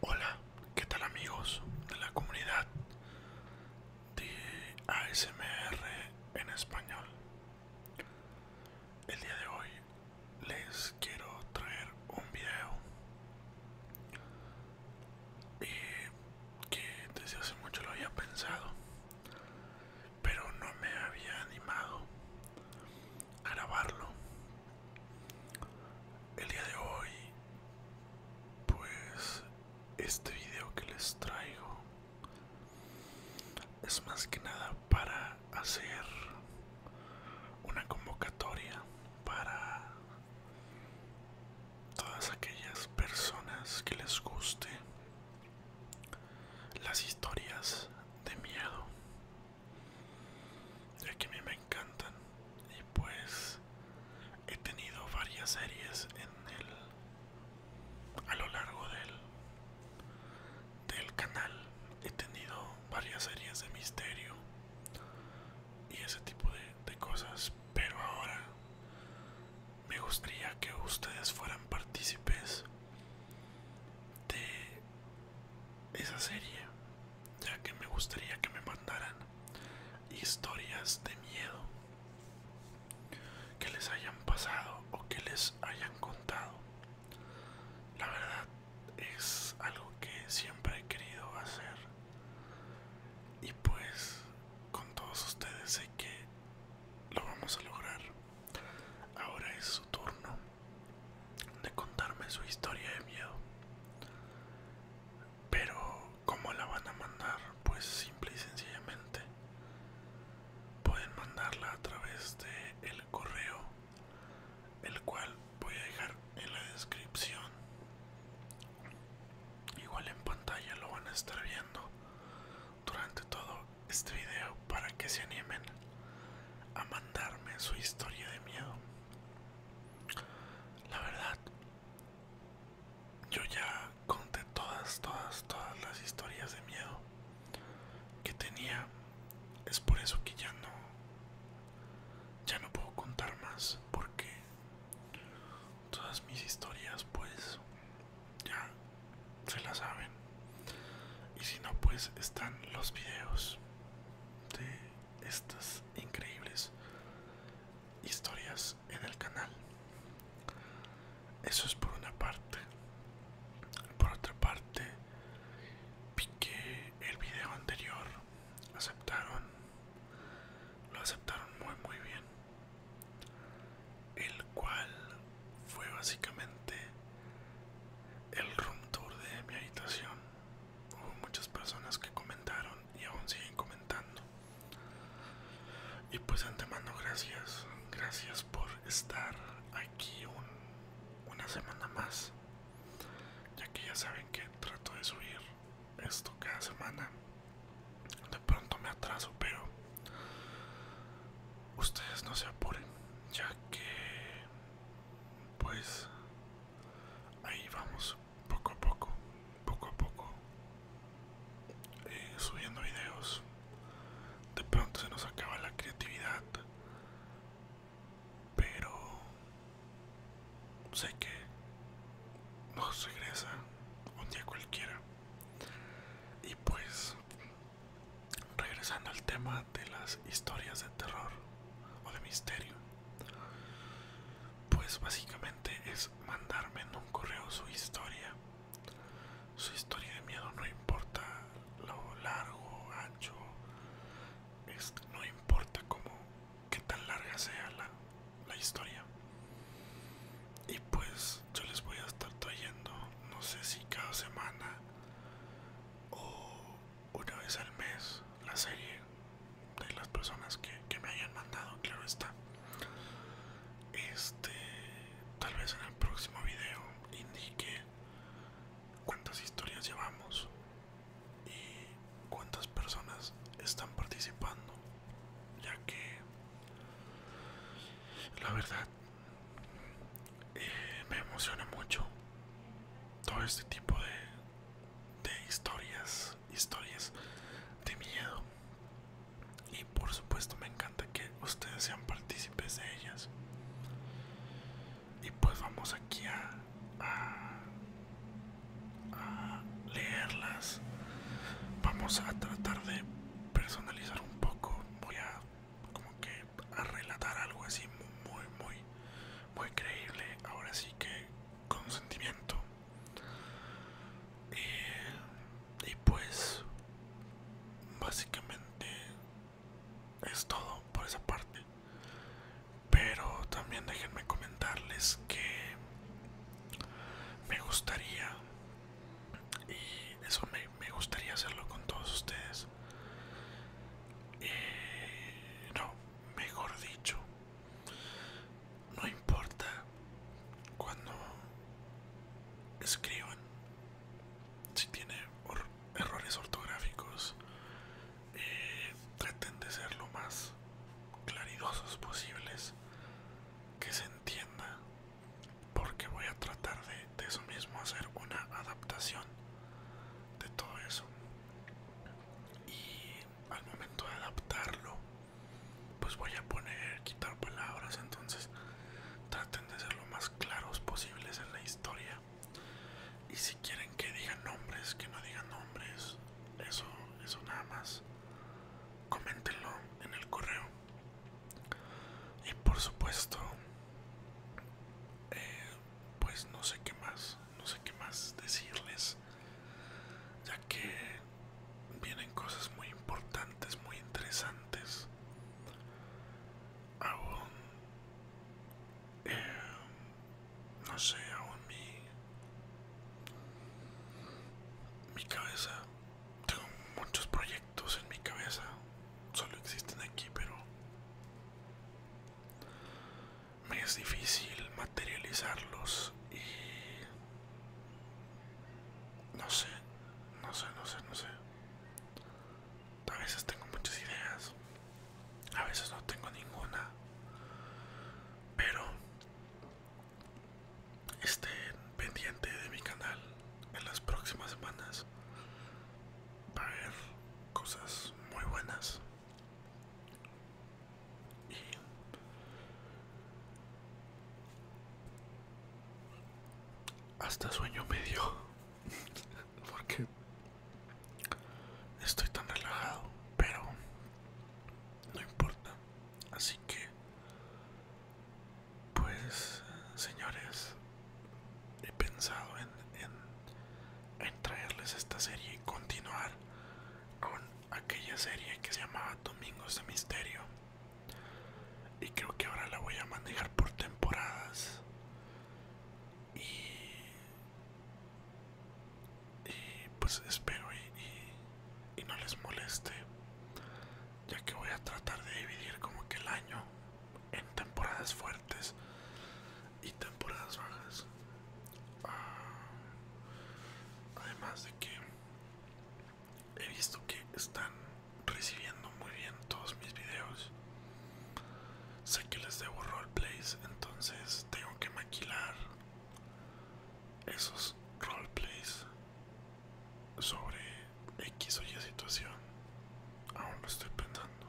Hola, ¿qué tal amigos de la comunidad de ASMR en español? El día de hoy les quiero traer un video eh, que desde hace mucho lo había pensado, pero no me había animado a grabarlo. El día de hoy, pues este video que les traigo es más que nada para hacer una convocatoria para todas aquellas personas que les guste las historias de miedo ya que a mí me encantan y pues he tenido varias series en el a lo largo del del canal he tenido varias series de misterio y ese tipo de, cosas pero ahora me gustaría que ustedes fueran partícipes de esa serie ya que me gustaría que me mandaran historias de miedo que les hayan pasado o que les hayan contado la verdad es algo que siempre he querido hacer y pues con todos ustedes sé que lo vamos a lograr. Ahora es su turno de contarme su historia de miedo. Pero ¿cómo la van a mandar? Pues simple y sencillamente. Pueden mandarla a través de el correo el cual voy a dejar en la descripción igual en pantalla lo van a estar viendo durante todo este video para que se animen a mandarme su historia de miedo la verdad yo ya conté todas todas todas las historias de miedo que tenía es por eso que ya no ya no puedo contar más porque todas mis historias pues ya se las saben y si no pues están los videos de estas increíbles historias en el canal eso es por una parte por otra parte piqué el video anterior aceptaron lo aceptaron muy muy bien el cual fue básicamente el room tour de mi habitación hubo muchas personas que comentaron y aún siguen comentando y pues antemano gracias gracias por estar aquí una semana más ya que ya saben que trato de subir esto cada semana de pronto me atraso pero ustedes no se apuren ya que pues ahí vamos poco a poco poco a poco eh, subiendo videos de pronto se nos acaba la creatividad pero sé que nos regresa un día cualquiera. Y pues, regresando al tema de las historias de terror o de misterio, pues básicamente es mandarme en un correo su historia. Su historia de miedo no importa lo largo, ancho, no importa cómo, qué tan larga sea la, historia. Y pues yo les voy a estar trayendo, no sé si cada semana o una vez al mes, la serie de las personas que, me hayan mandado, claro está. Este, tal vez en el próximo video indique cuántas historias llevamos y cuántas personas están participando ya que la verdad eh, me emociona mucho todo este tipo de historias historias de miedo y por supuesto me encanta que ustedes sean partícipes de ellas y pues vamos aquí a, a, leerlas vamos a tratar de personalizar un poco voy a como que a relatar algo así muy muy muy creíble ahora sí que con sentimiento eh, y pues básicamente es todo por esa parte. Pero también déjenme comentarles que me gustaría, y eso me, gustaría hacerlo con todos ustedes. Eh, no, mejor dicho, no importa cuando escriban si tiene or errores ortográficos, eh, traten de ser lo más claridosos posibles, que se entienda, porque voy a tratar de, de eso mismo hacer una adaptación de todo eso. Y al momento de adaptarlo, pues voy a poner, quitar palabras, entonces traten de ser lo más claros posibles en la historia y si quieren que digan nombres, que no digan nombres, eso, eso nada más. Coméntenlo en el correo. Y por supuesto, eh, pues no sé qué más, no sé qué más decirles, ya que vienen cosas muy importantes, muy interesantes aún eh, no sé aún mi mi cabeza tengo muchos proyectos en mi cabeza solo existen aquí pero me es difícil materializarlos y no sé no sé no sé no sé a veces tengo muchas ideas, a veces no tengo ninguna, pero estén pendiente de mi canal en las próximas semanas. para ver cosas muy buenas. Y hasta sueño medio porque estoy tan relajado pero no importa así que pues señores he pensado en, en, en traerles esta serie y continuar con aquella serie que se llamaba Domingos de Misterio y creo que ahora la voy a manejar por temporadas y, y pues espero y, y, no les moleste ya que voy a tratar de dividir como que el año en temporadas fuertes y temporadas bajas ah, además de que he visto que están recibiendo muy bien todos mis videos. Sé que les debo roleplays, entonces tengo que maquilar esos roleplays sobre X o Y situación. Aún lo estoy pensando.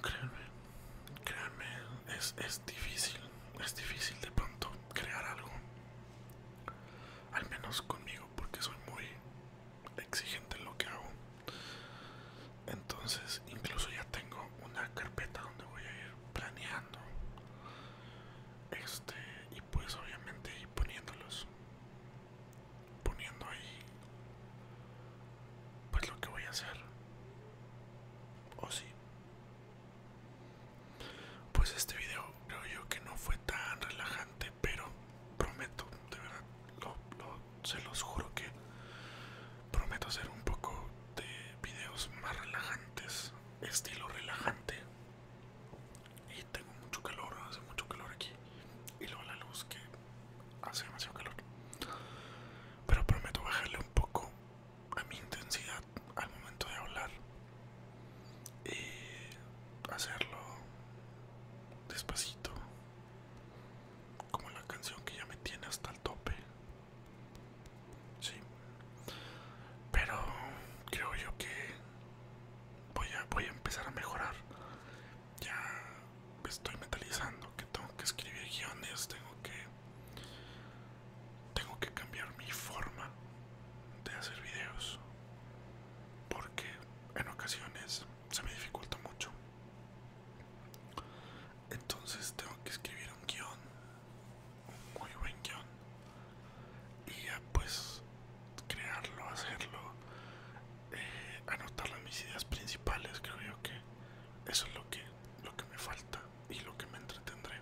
Créanme, créanme, es, es difícil, es difícil de pronto crear algo. Al menos conmigo, porque soy muy exigente en lo que hago. Entonces, incluso ya tengo una carpeta donde voy a ir planeando. Este, y pues obviamente poniéndolos. Poniendo ahí pues lo que voy a hacer. O si pues este video creo yo que no fue tan relajante, pero prometo, de verdad, se los juro que prometo hacer un poco de videos más relajantes, estilo relajante. Y tengo mucho calor, hace mucho calor aquí. Y luego la luz que hace demasiado calor. Pero prometo bajarle un poco a mi intensidad al momento de hablar y hacerlo despacito como la canción que ya me tiene hasta el tope sí pero creo yo que voy a voy a empezar a mejorar ya estoy mentalizando que tengo que escribir guiones tengo que tengo que cambiar mi forma de hacer videos porque en ocasiones se me dificulta mucho. Entonces tengo que escribir un guión, un muy buen guión, y pues crearlo, hacerlo, eh, anotar las mis ideas principales. Creo yo que eso es lo que, lo que me falta y lo que me entretendré.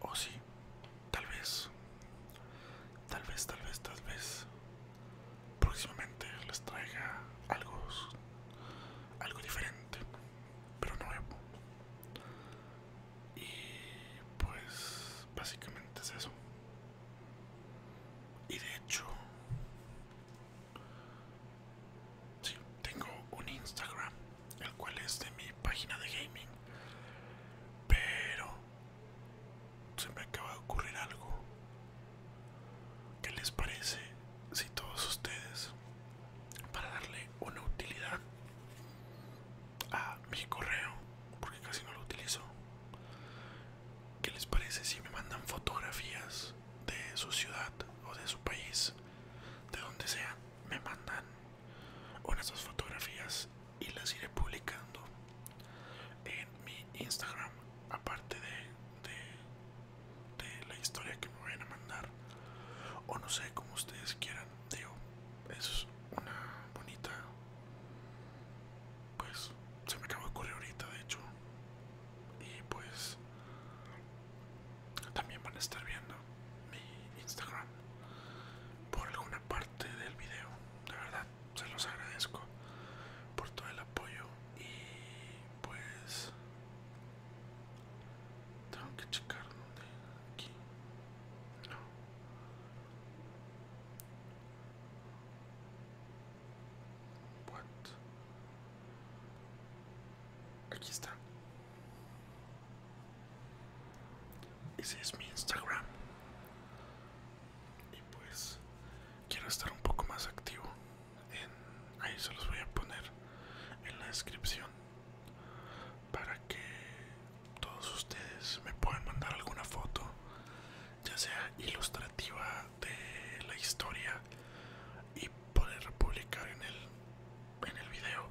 O si sí, tal vez, tal vez, tal vez, tal vez. Próximamente les traiga algo, algo diferente, pero nuevo. Y pues básicamente es eso. Y de hecho, Sí, tengo un Instagram, el cual es de mi página de gaming. Pero se me acaba de ocurrir algo. ¿Qué les parece si todos ustedes, para darle una utilidad a mi correo, porque casi no lo utilizo, ¿qué les parece si me mandan fotografías de su ciudad o de su país, de donde sea, me mandan unas dos fotografías y las iré publicando en mi Instagram, aparte de, de, la historia que me vayan a mandar, o no sé, como ustedes quieran. Digo, es una bonita. Pues se me acabó de correr ahorita, de hecho y pues también van a estar viendo mi Instagram por alguna parte del video. De verdad, se los agradezco por todo el apoyo y pues tengo que checar dónde aquí. No. What? Aquí está. Ese es mi Instagram. Y pues quiero estar un poco más activo. En, ahí se los voy a poner en la descripción para que todos ustedes me puedan mandar alguna foto ya sea ilustrativa de la historia y poder publicar en el, en el video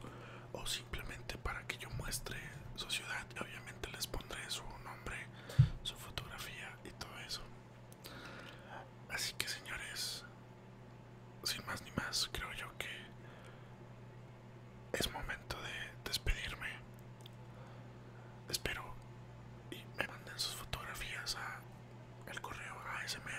o simplemente para que yo muestre su ciudad obviamente les pondré su nombre su fotografía y todo eso así que señores sin más ni más creo yo que es momento de despedirme espero y me manden sus fotografías a el correo asmrhz.com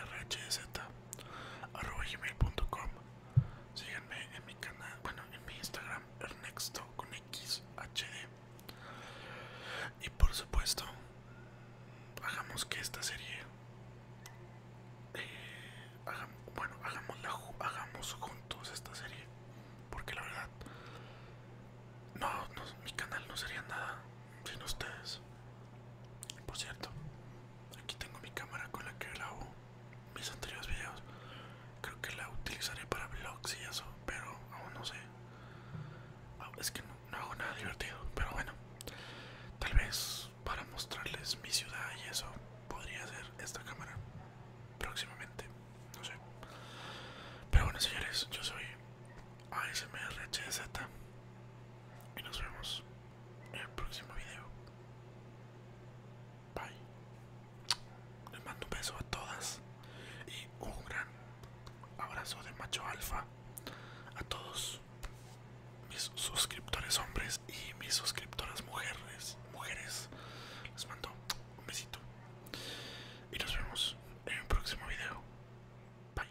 Síganme en mi canal, bueno, en mi Instagram, Ernexto con XHD. Y por supuesto, hagamos que esta serie, eh, bueno, hagamos, la, hagamos juntos esta serie, porque la verdad no, mi canal no sería nada sin ustedes. Por cierto, aquí tengo mi cámara con la que grabo mis anteriores videos. Creo que la utilizaré para vlogs y eso, pero aún no sé. Ah, es que no, no hago nada divertido, pero bueno. Tal vez para mostrarles mi ciudad y eso podría ser esta cámara próximamente no sé. Pero bueno, señores, yo soy ASMRHZ y nos vemos en el próximo video. Bye. Les mando un beso a todas y un gran abrazo de macho alfa a todos mis suscriptores hombres y mis suscriptoras mujeres. Mujeres, les mando un besito. Y nos vemos en un próximo video. Bye.